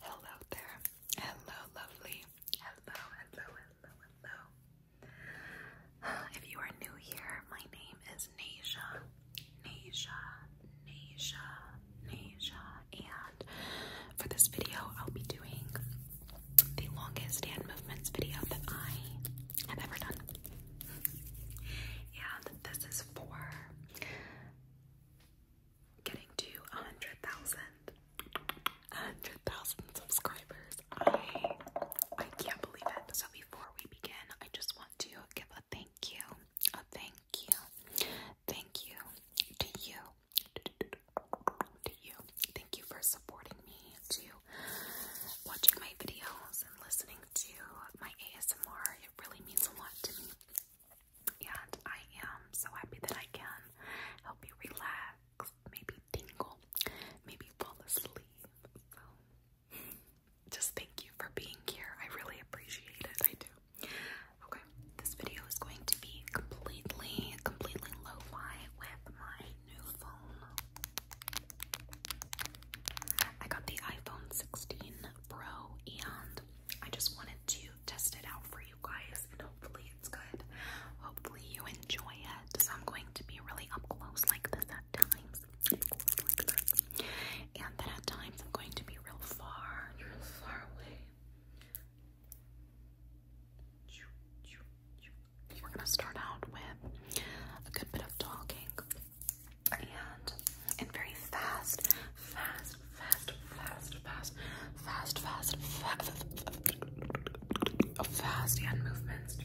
Hello there. Hello, lovely. Hello, hello, hello, hello. If you are new here, my name is Nasia. Nasia, Nasia, Nasia, and for this video, I'll be doing the longest hand movements video that I have ever done. and this is for getting to a 100,000. a 100,000 subscribers. I I can't believe it. So before we begin, I just want to give a thank you. A thank you. Thank you to you Thank you for supporting me, to watching my videos and listening to my ASMR. It really means a lot to me. And I am so happy that I can help you relax, maybe tingle, maybe fall asleep. So, just thank you for being here. I really appreciate it. I do. Okay. This video is going to be completely, completely low fi with my new phone. I got the iPhone 16 Pro and I just wanted to test it out for you guys and hopefully it's good. Hopefully you enjoy it. So I'm going to be really up close like this at times. And then at times I'm going to be real far, real far away. We're gonna start out with a good bit of talking and and very fast, fast, fast, fast, fast, fast, fast, fast, fast hand movements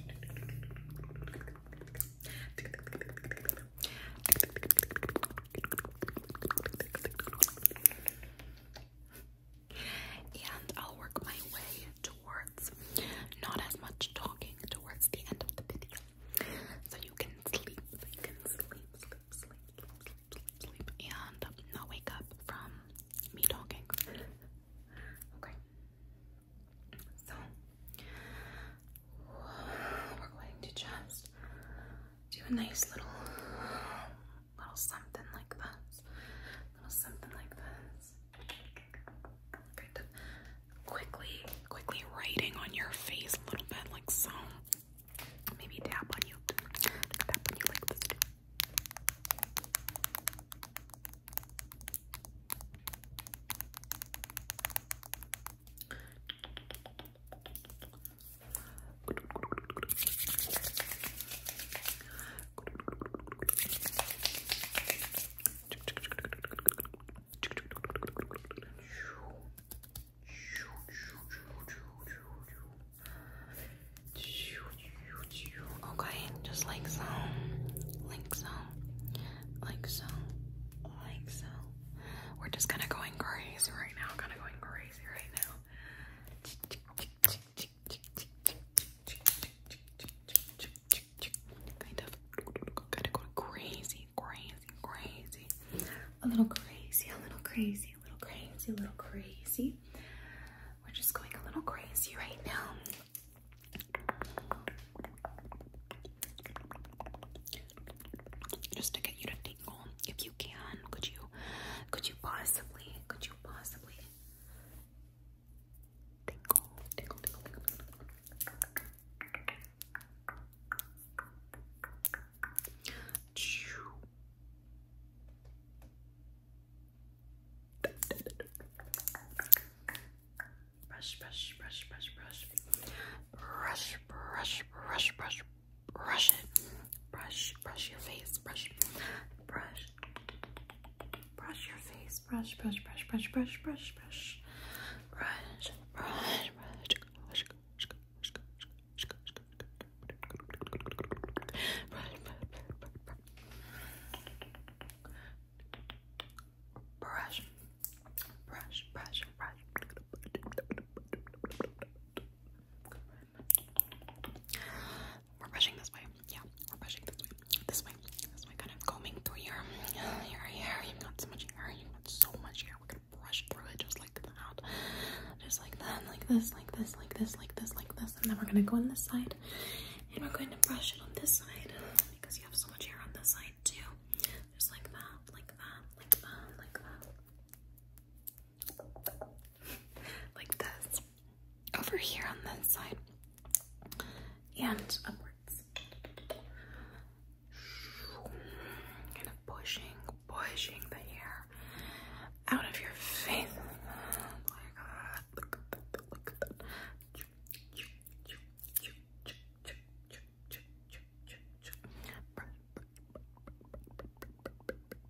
and I'll work my way towards not as much talking towards the end of the video. So you can sleep, you can sleep, sleep, sleep, sleep, sleep, sleep, and not wake up from me talking. Okay. So we're going to just do a nice little little something like this, little something like this. quickly, quickly writing on your face a little bit, like so. Maybe tap on you, tap on you like this. Okay, just like so, like so, like so, like so. We're just kind of going crazy right now, kind of going crazy right now kind of kind of going crazy, crazy, crazy. A little crazy, a little crazy, a little crazy, a little crazy. We're just going a little crazy right now. Just to get you to tingle, if you can, could you, could you possibly, could you possibly Tinkle, tinkle, tinkle, tinkle, tinkle. Brush, brush, brush, brush, brush. Brush, brush, brush, brush, brush it. Brush, brush your face, brush, brush, Brush your face. Brush, brush, brush, brush, brush, brush, brush. Brush, brush, brush. Brush, brush, brush, brush. Brush, brush, brush, brush. We're brushing this way. Yeah, we're brushing this way. This way. This way, kind of combing through your, your hair. You've got so much hair. You've got so much hair. We're gonna brush through it just like that. Just like that, like this, like this, like this, like this, like this. And then we're gonna go on this side. And we're going to brush it on this side. Because you have so much hair on this side too. Just like that, like that, like that, like that like this over here on this side and upwards. Kind of pushing, pushing the hair out of your face. Oh my look at that, look at that.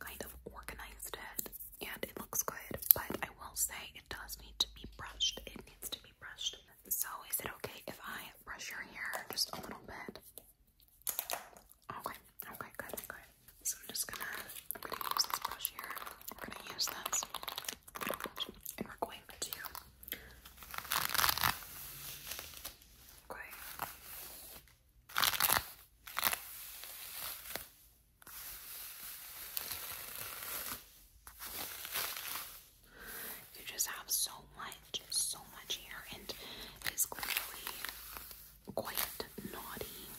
Kind of organized it and it looks good, but I will say it does need to be brushed. It needs to be brushed. So, is it okay if I brush your hair just a little bit? Okay, okay, good, good. So I'm just gonna, I'm gonna use this brush here. We're gonna use this, and we're going to. Okay. You just have so much, so much here, and it's clearly quite naughty.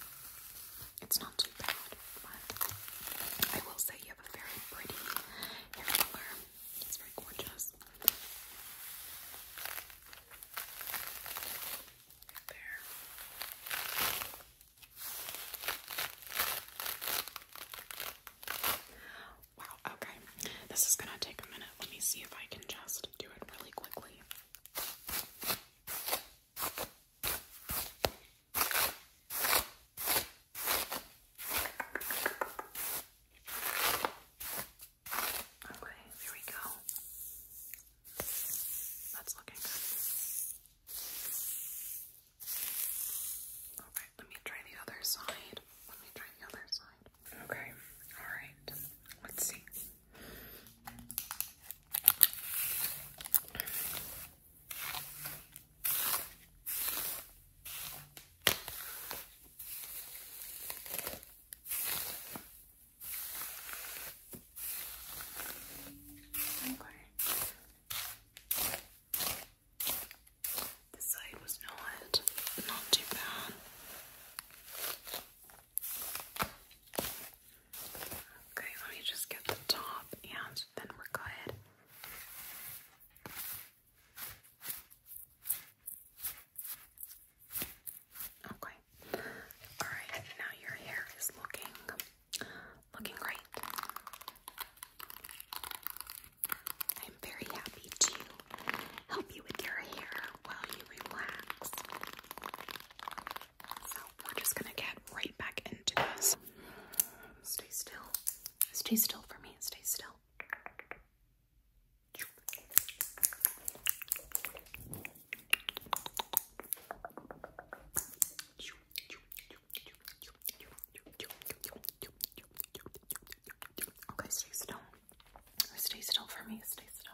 It's not too bad, but I will say you have a very pretty hair color. It's very gorgeous okay. This is gonna take a minute. Let me see if I can just do it really quickly. Okay, here we go. That's looking good. Alright, let me try the other side. Let me try the other side. Okay, alright. Let's see. Okay. This side was not not too bad. Okay, let me just get the top and then we're good. Okay. All right. Now your hair is looking looking great. I'm very happy to help you with your hair while you relax. So we're just gonna get right back into this. Stay still. Stay still for me. Stay still. Okay, stay still. Stay still for me. Stay still.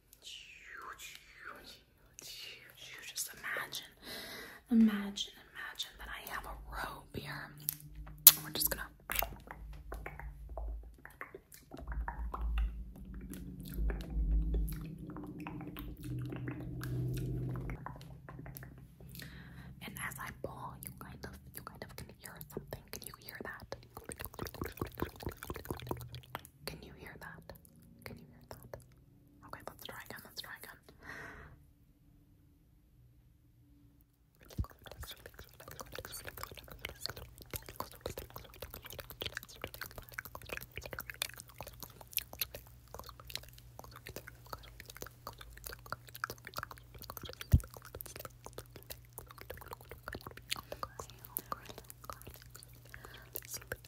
you just imagine, imagine, imagine that I have a rope here. We're just gonna. And as I pull, you kind of, you kind of can hear something. Can you hear that? Can you hear that? Can you hear that? Okay, let's try again. Let's try again.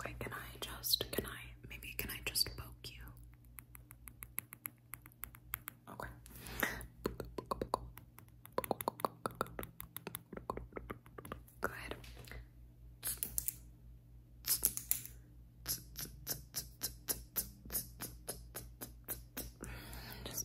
Okay, can I just, can I, maybe can I just poke you? Okay. Good. Just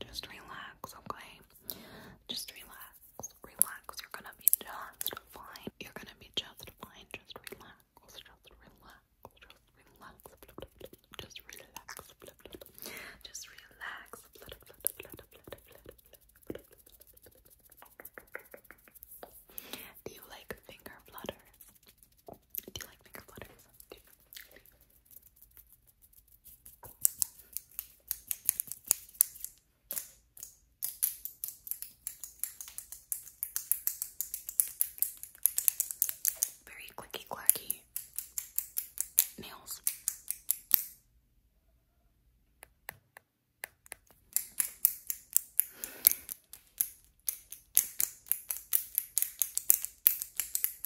Just relax, okay? Just relax, relax. You're gonna be just fine. You're gonna be just fine. Just relax, just relax, just relax. Just relax, just relax. Do you like finger flutters? Do you like finger flutters? Do you, do you, very clicky clacky nails.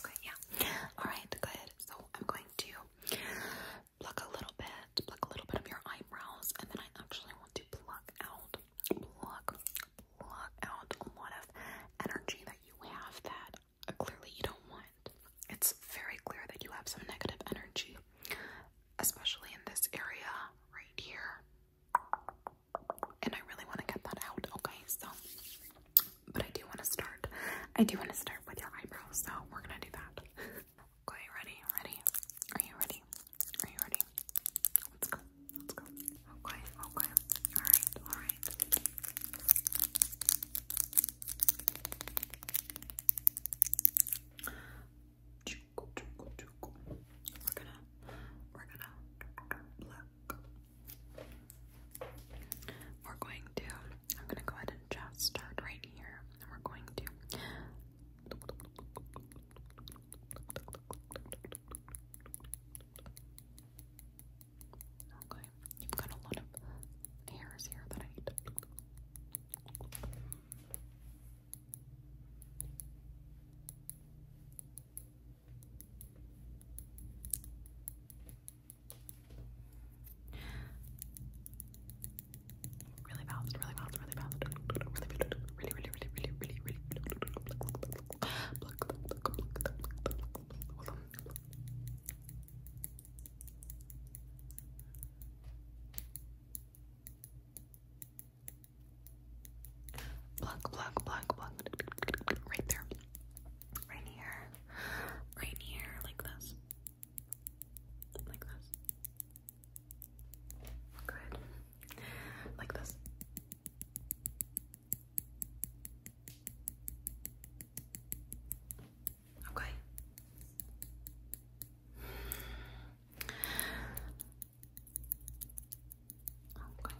Okay, yeah. Alright, good. So I'm going to pluck a little bit, pluck a little bit of your eyebrows, and then I actually want to pluck out, pluck, pluck out a lot of energy that you have that uh, clearly you don't want. It's very clear that you have some negative energy, especially in this area right here. And I really want to get that out, okay? So, but I do want to start. I do want to start with your eyebrows, so we're gonna do that. okay, ready? Ready? Are you ready? Are you ready? Let's go. Let's go. Okay, okay. Alright, alright. We're gonna we're gonna pluck. We're going to, I'm gonna go ahead and just start right here. And we're going to Okay, you've got a lot of hairs here that I need Really fast, really fast, really fast, really, really, really, really, really, really, Plug, plug, plug, plug. Right there. Right here. Right here. Like this. Like this. Good. Like this. Okay. Okay.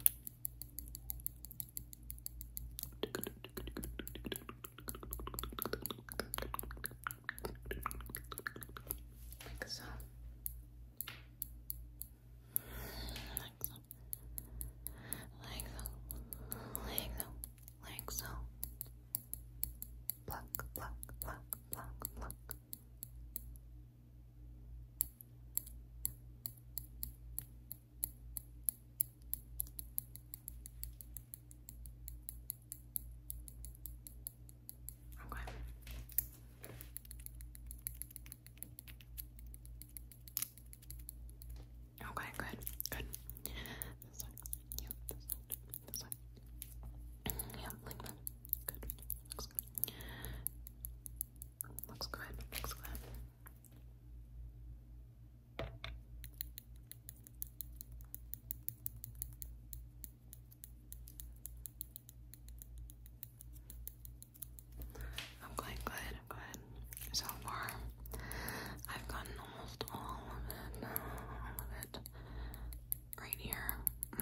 Like so. Like so. Like so. Like so. Like so. Pluck, pluck, pluck, pluck, pluck. Okay. Okay, good, good. This one, yeah, this one, this one. Yeah, like Good, looks good. Looks good, looks good. I'm going good, I'm good. So far, I've gotten almost all of it, all of it right here. Mm.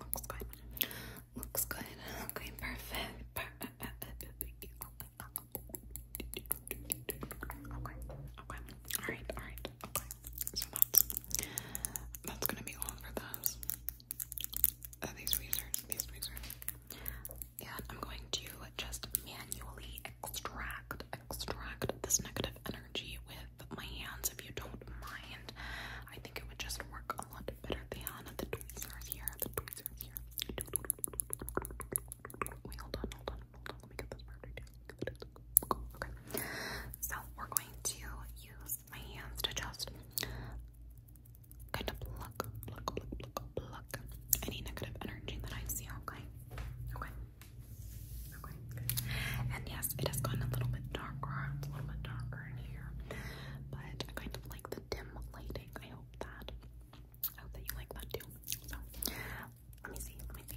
looks good. Looks good. Okay, perfect. Okay, okay. Alright, alright, okay. So that's that's gonna be all for those. Uh, these tweezers, these tweezers. And I'm going to just manually extract, extract this negative energy with my hands if you don't mind. I think it would just work a lot better than the tweezers here. The tweezers here. hold on, hold on, hold on. Let me get this part Okay. So we're going to use my hands to just kind of pluck, pluck, pluck, pluck, pluck any negative energy that I see. Okay. Okay. Okay. And yeah, it has gotten a little bit darker. a little bit darker in here, but I kind of like the dim lighting. I hope that I hope that you like that too. So let me see. Let me see.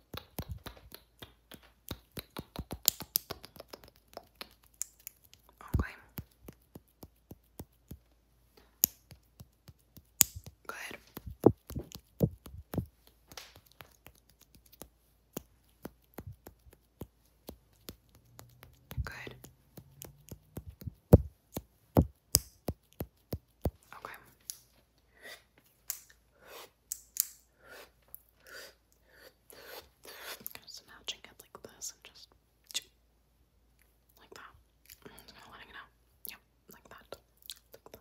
Okay. Good. Good. Okay. So now drink it like this and just like that. i letting it out. Yep, like that. Like that.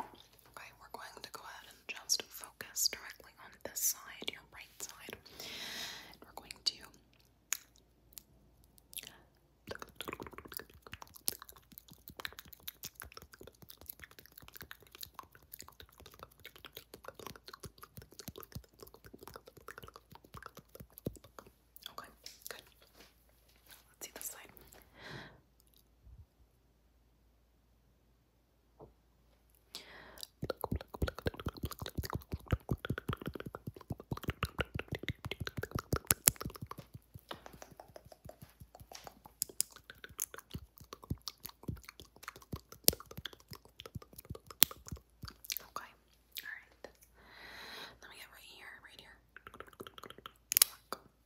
Okay, we're going to go ahead and just focus directly on this side, your right side. we're going to Okay, good. Let's see this side. Okay, all right. Let me get right here, right here. Pluck,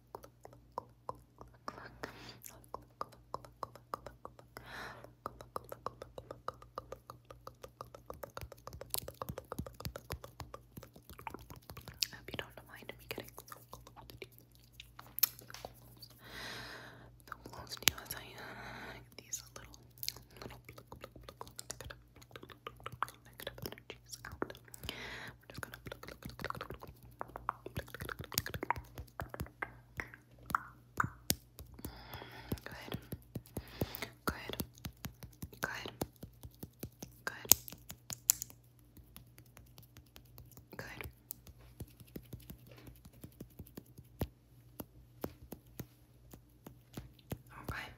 I hope you don't mind me getting so close to you. So close. So close to you as I uh, these little, little negative energies out. We're just gonna pluck, pluck, pluck, pluck, pluck, Good. Good. Good. Good. Good. All right.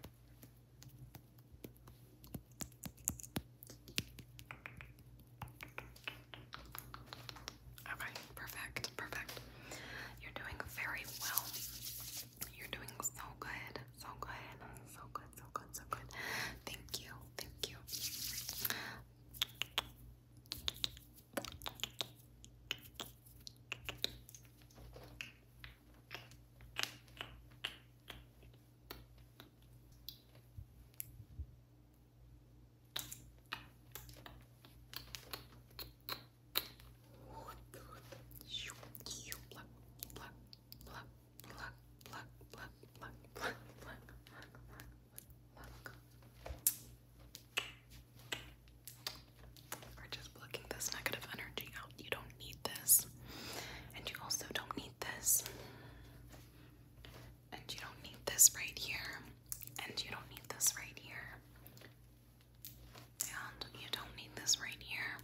Okay, perfect, perfect. You're doing very well. You're doing so good, so good, so good, so good, so good. Thank you, thank you. We're just plucking this negative energy out. You don't need this. And you also don't need this. And you don't need this right here. And you don't need this right here. And you don't need this right here.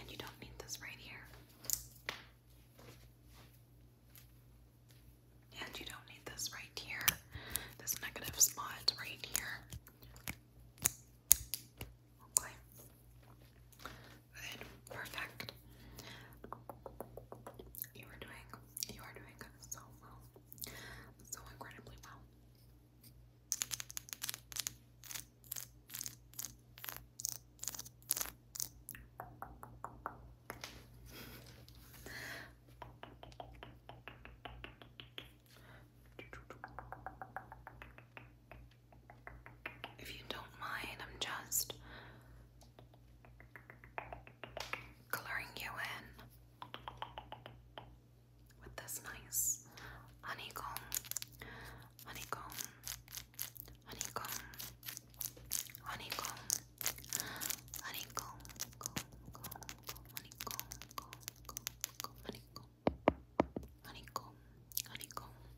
And you don't need this right here. And you don't need this right here. This negative spot right here. Okay. Good, perfect. You are doing, you are doing so well, so incredibly well. If you don't mind, I'm just coloring you in with this nice honeycomb, honeycomb, honeycomb, honeycomb, honeycomb, honeycomb, honeycomb, honeycomb, honeycomb, honeycomb, honeycomb.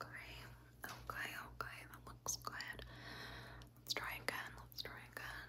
Okay, okay, okay, that looks good. Let's try again, let's try again.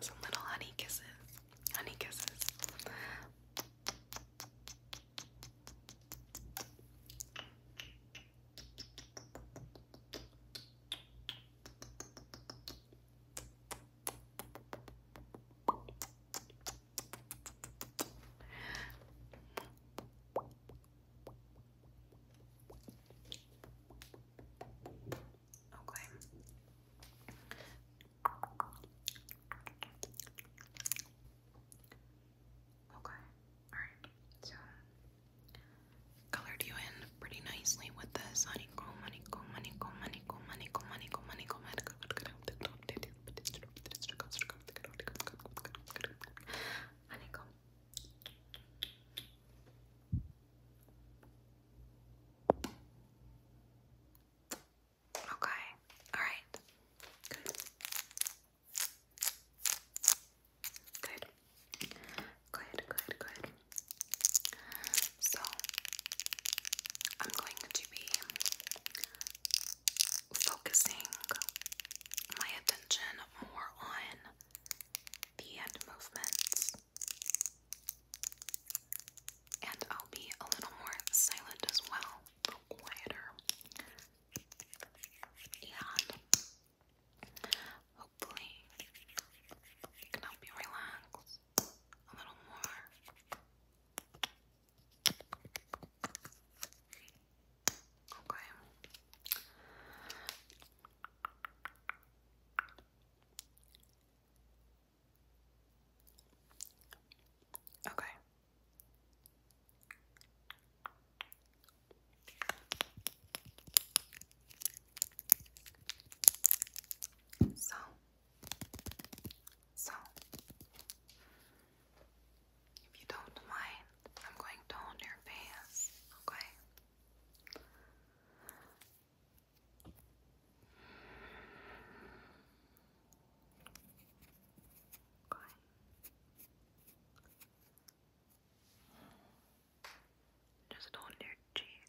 Some little honey kisses. Honey kisses. Okay. Okay. Alright. So colored you in pretty nicely with this honeycomb, honeycomb, honeycomb, honeycomb, honeycomb, honeycomb, honeycomb, honeycomb, honeycomb, honeycomb, Honeycomb. Okay. All right. Good. Good. Good. Good. So I'm going to be focusing my attention more on the hand movements, and I'll be a little more silent as well, quieter, and hopefully it can help you relax a little more. Okay. Okay. So, so, if you don't mind, I'm going to hold your pants. okay? Okay. Just hold your cheek.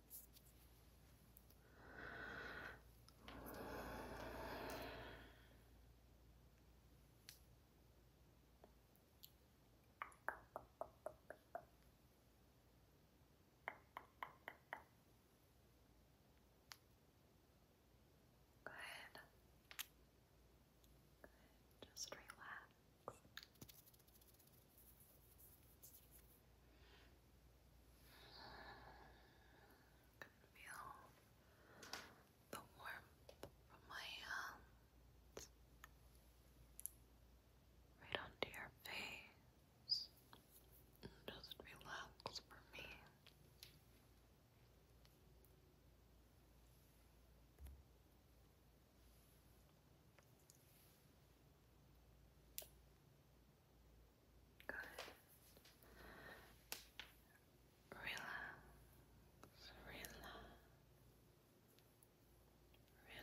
Good. Good. Just relax. Relax. I can feel the warmth from my hands right onto your face and just relax for me. Good. Relax, relax, relax. Good.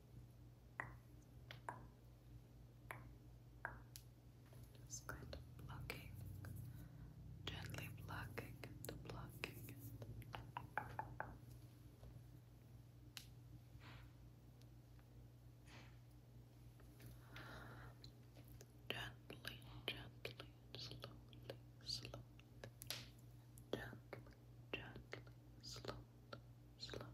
Just kind of gently plucking and plucking it. Gently, gently, slowly, slowly, gently gently, slowly, slowly.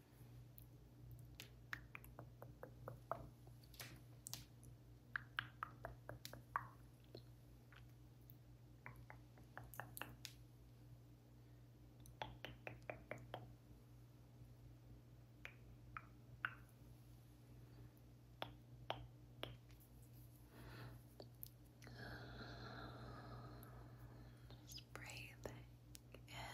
Just breathing in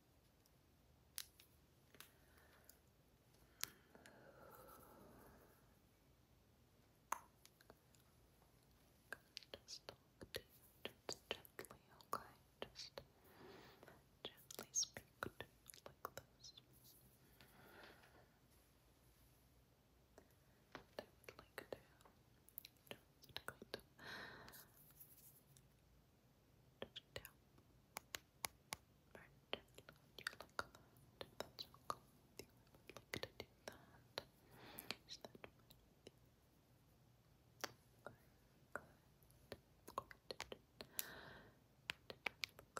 Just talk to you, just gently, okay? Just gently speak to you like this. I would like to just kind of just down. Very gently when you look at that. If that's okay with you, I would like to do that. Is that fine with you? Okay, good.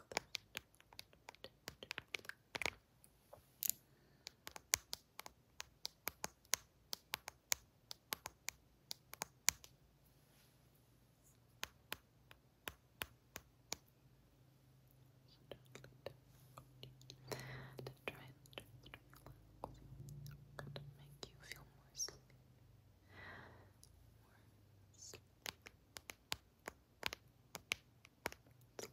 Good. Look at that to try and just relax and make you feel more sleepy. More sleepy. sleepy. Good.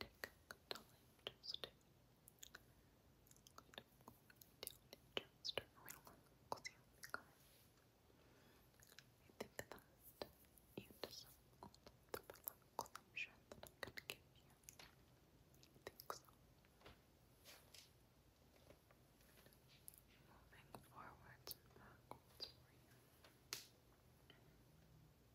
tick tock just good just relax your car I think that you deserve all the relaxation that I'm gonna give you I think so moving forwards and backwards for you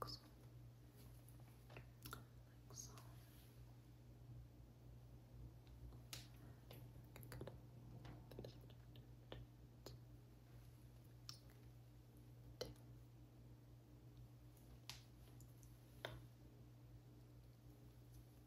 Like so. Like so. Tick.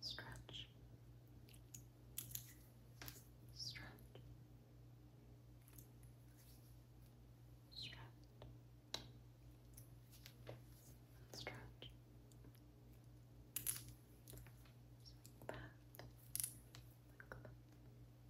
Stretch. Stretch. Stretch. Stretch. back. Look back.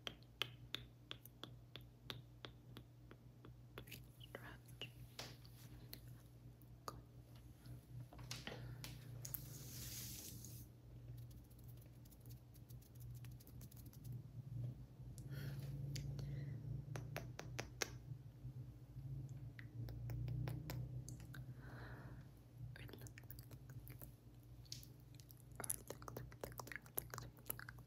Stretch. Good. Relax. Relax. Relax. Relax. Relax. Relax.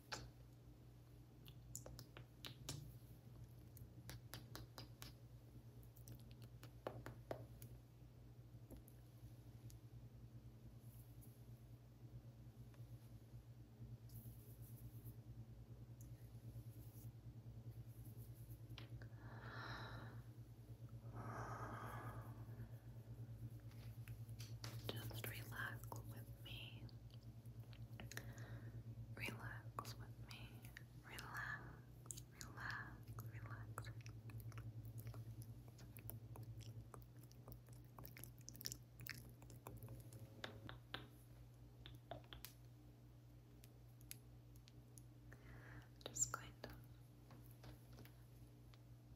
Just relax with me. Relax with me. Relax, relax, relax. Just going to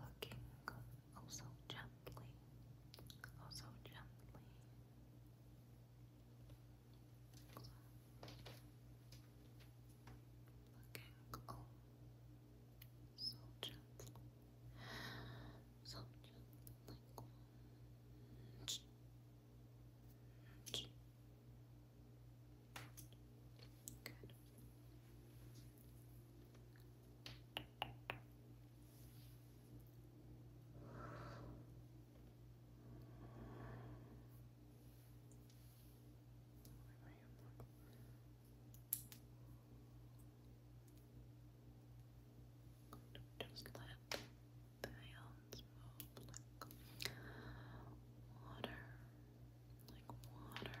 Looking oh so gently, oh gently. Looking oh gently, so gently. Good. Just let the hands move like water, like water,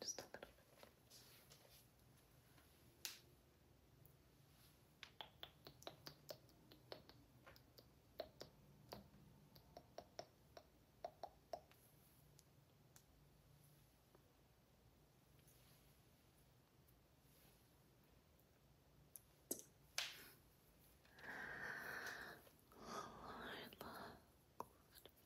Just a little bit. Relaxed.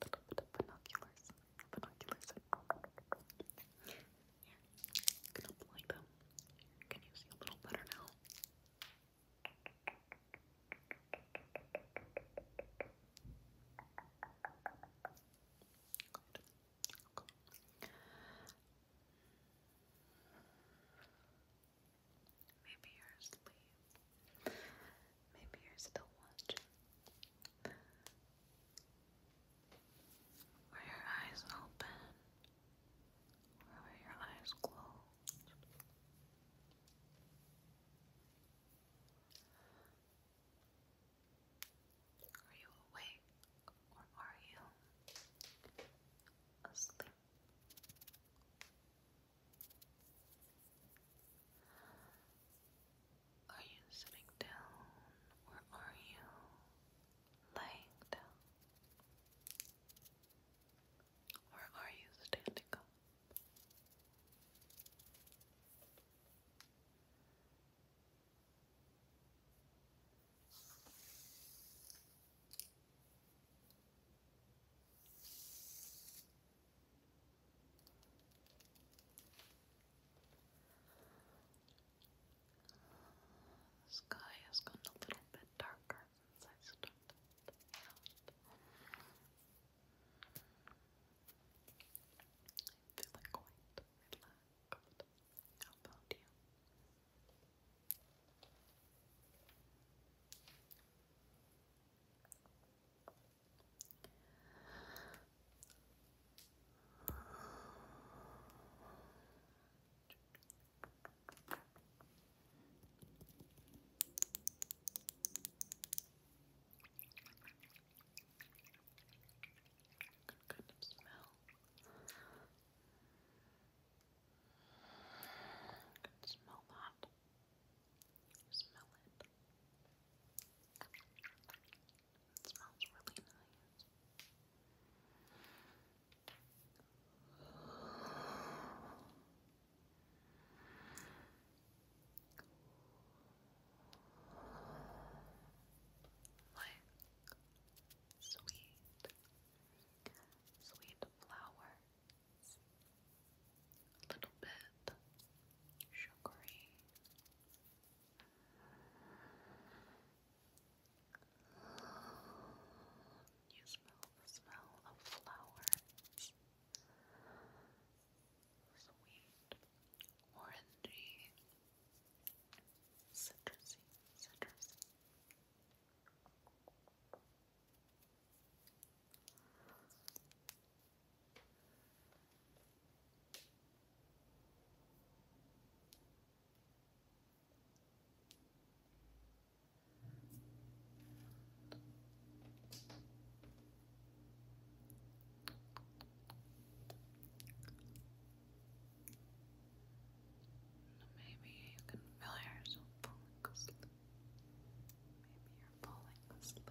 Binoculars. Binoculars. Here, gonna apply them. Can you see a little better now? Maybe you're asleep. Maybe you're still watching. Were your eyes open? Or were your eyes closed? Are you awake or are you asleep? Are you sitting down or are you lying down? Or are you standing up? The sky has gone a little bit darker I started out. I'm feeling quite relaxed. How about you? Good kind of smell. Good smell that. You smell it. It smells really nice. Like sweet, sweet flower a little bit sugary, you smell the smell of flowers, sweet, orangey, citrusy, citrusy. Maybe you can feel yourself falling asleep. Maybe you're falling asleep.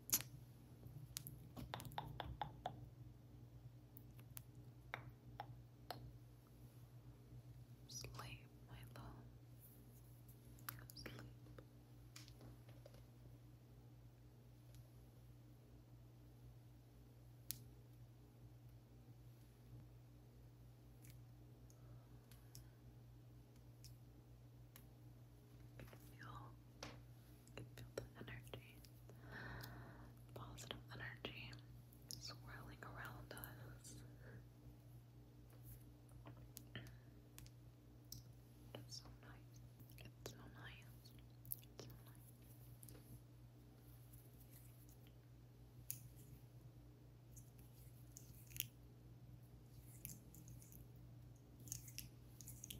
Sleep, my love. Sleep feel, you feel the energy, positive energy swirling around us. It's so nice. It's so nice. It's so nice. Doesn't it look?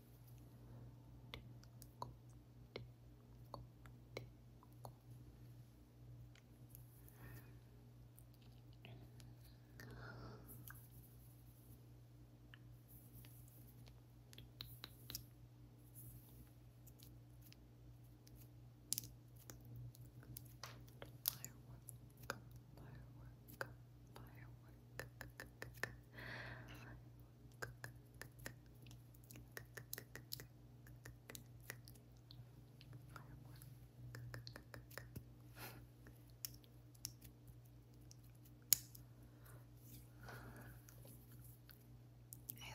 Firework, firework, firework. I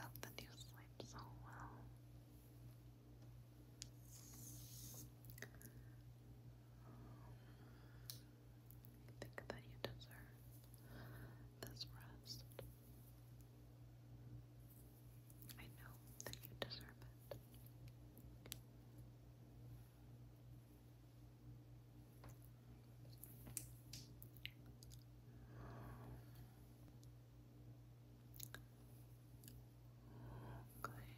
hope that you sleep so well. I think that you deserve this rest. I know that you deserve it. Okay.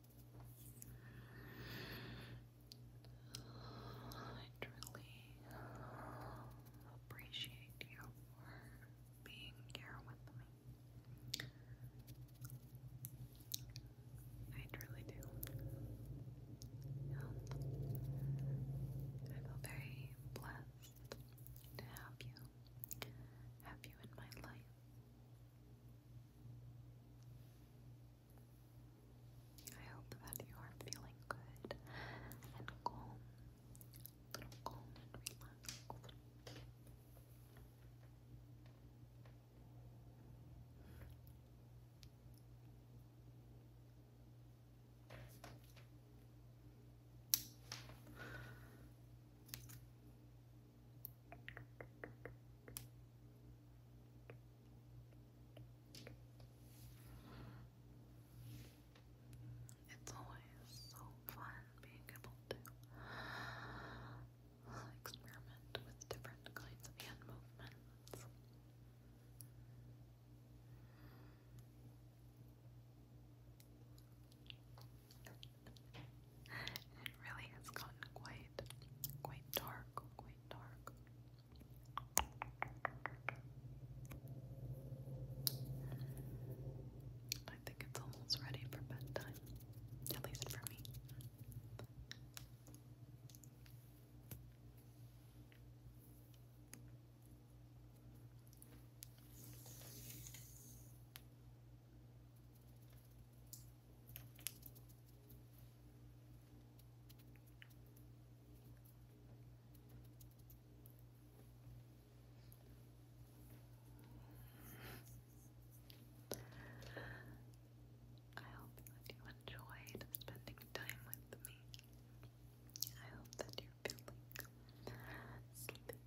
I truly appreciate you for being here with me. I truly do. Um, I feel very blessed to have you, have you in my life. I hope that you are feeling good and calm, little calm and relaxed. It's always so fun being able to experiment with different kinds of hand movements. it really has gotten quite, quite dark, dark. I think it's almost ready for bedtime, at least for me. I hope that you enjoyed spending time with me. I hope that you're feeling sleepy,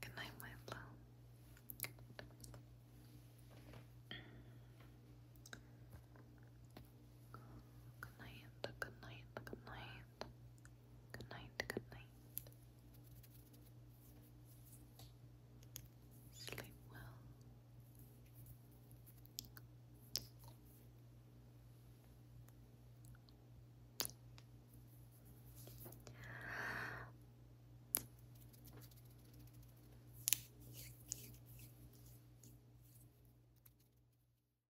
Good night, my love. Good night, good night, good night. Good night, good night. Sleep well.